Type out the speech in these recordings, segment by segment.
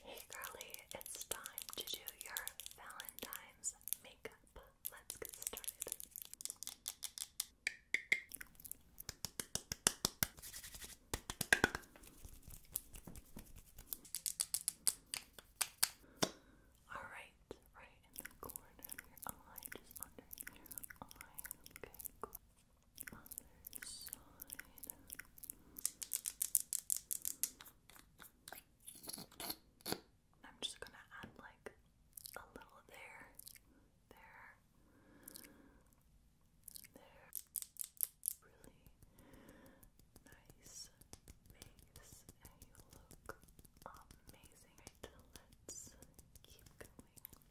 Hey girly, it's time to do your Valentine's makeup. Let's get started. Alright, right in the corner just under your eye. Okay, other side. I'm just gonna add like a little there, there, there. Really nice face, and you look amazing. Right, let's keep going.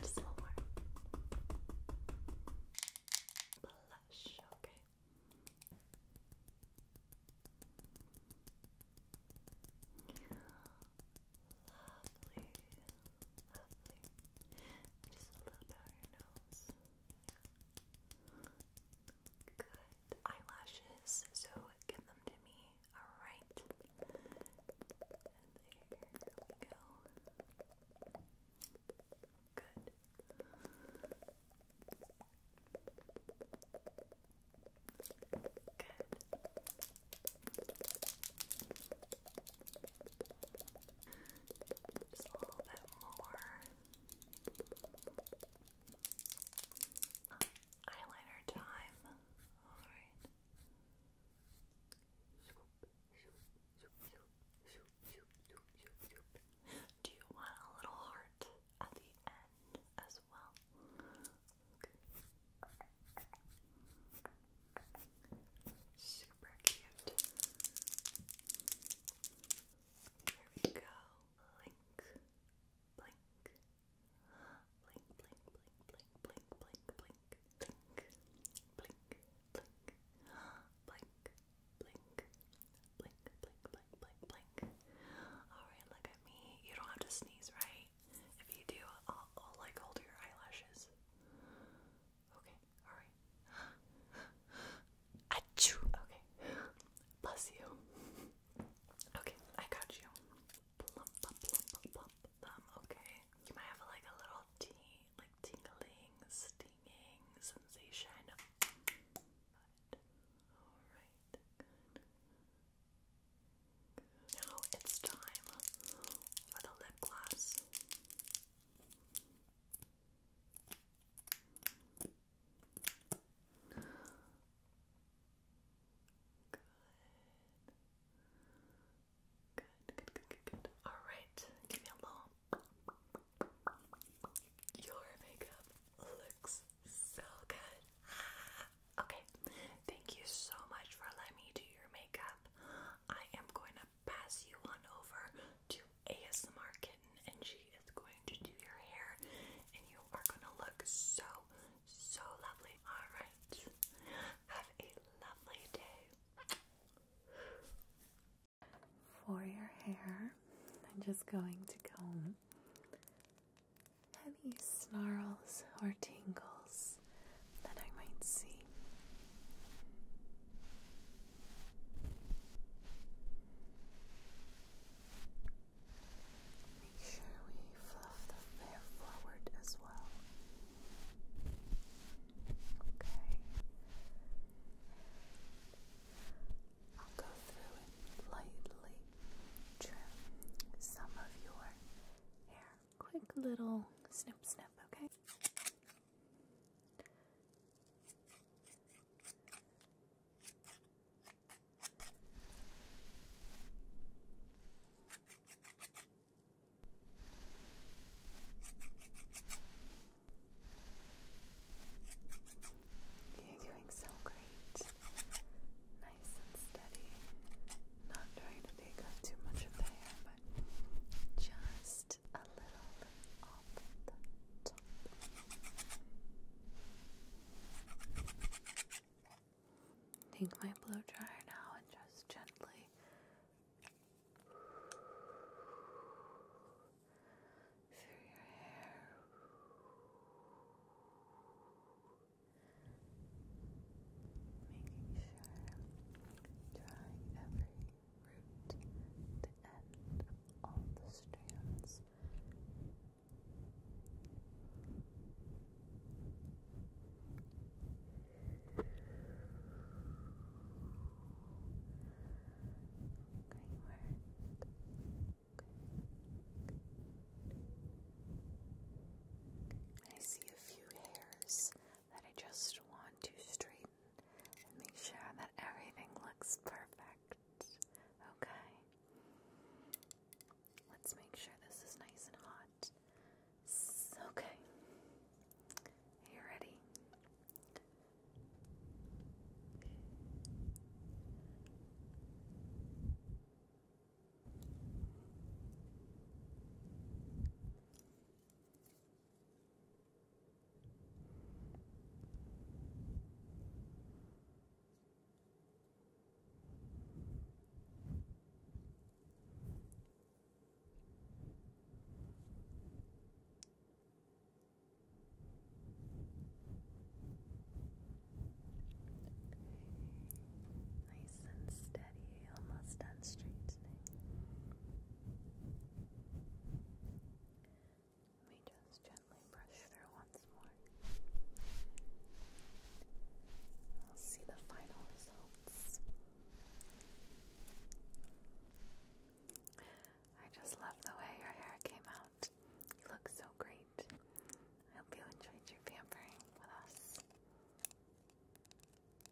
Just a little more. Blush, okay. Lovely, lovely. Just a little bit on your nose. Good. Eyelashes, so give them to me. Alright. there we go. Good. Good. Just a little bit more. Eyeliner time. Alright. Swoop, swoop, do you want a little heart at the end as well? Super cute. Here we go. blink, blink, blink, blink, blink, blink, blink, blink, blink, blink, blink, blink, blink, blink, blink, blink, blink, blink, blink. Alright, look at me. You don't have to sneeze, right? If you do, I'll, like hold your eyelashes. Okay, alright. Achoo! Okay. Bless you. Okay, I got you them, okay? You might have like a little tea, like tingling, stinging sensation. alright, Now it's time for the lip gloss. Good. Good, good, good, good, good. Alright, give me a little. Your makeup looks so good. Okay, thank you so much for letting me do your makeup. I am going to pass you on over to ASMR Kitten, and she is going to do your hair, and you are going to look so so lovely. Alright. Have a lovely day. For your hair, I'm just going to comb any snarls or tingles that I might see. Make sure we fluff the hair forward as well. Okay. I'll go through and lightly trim some of your hair. Quick little snip snip, okay? You're doing so great. Nice and steady. Not trying to take too much of the hair, but just a little off the top. Take my blow dryer now and just gently through your hair. Making sure drawing every root to end all the strands. I see a few hairs that I just want to straighten and make sure that everything looks perfect. Okay. Let's make sure this is nice and hot. okay. you ready? Nice and steady, almost straightening. Let me just gently brush through once more. We'll see the final results. I just love the way your hair came out. You look so great. I hope you enjoyed your pampering with us.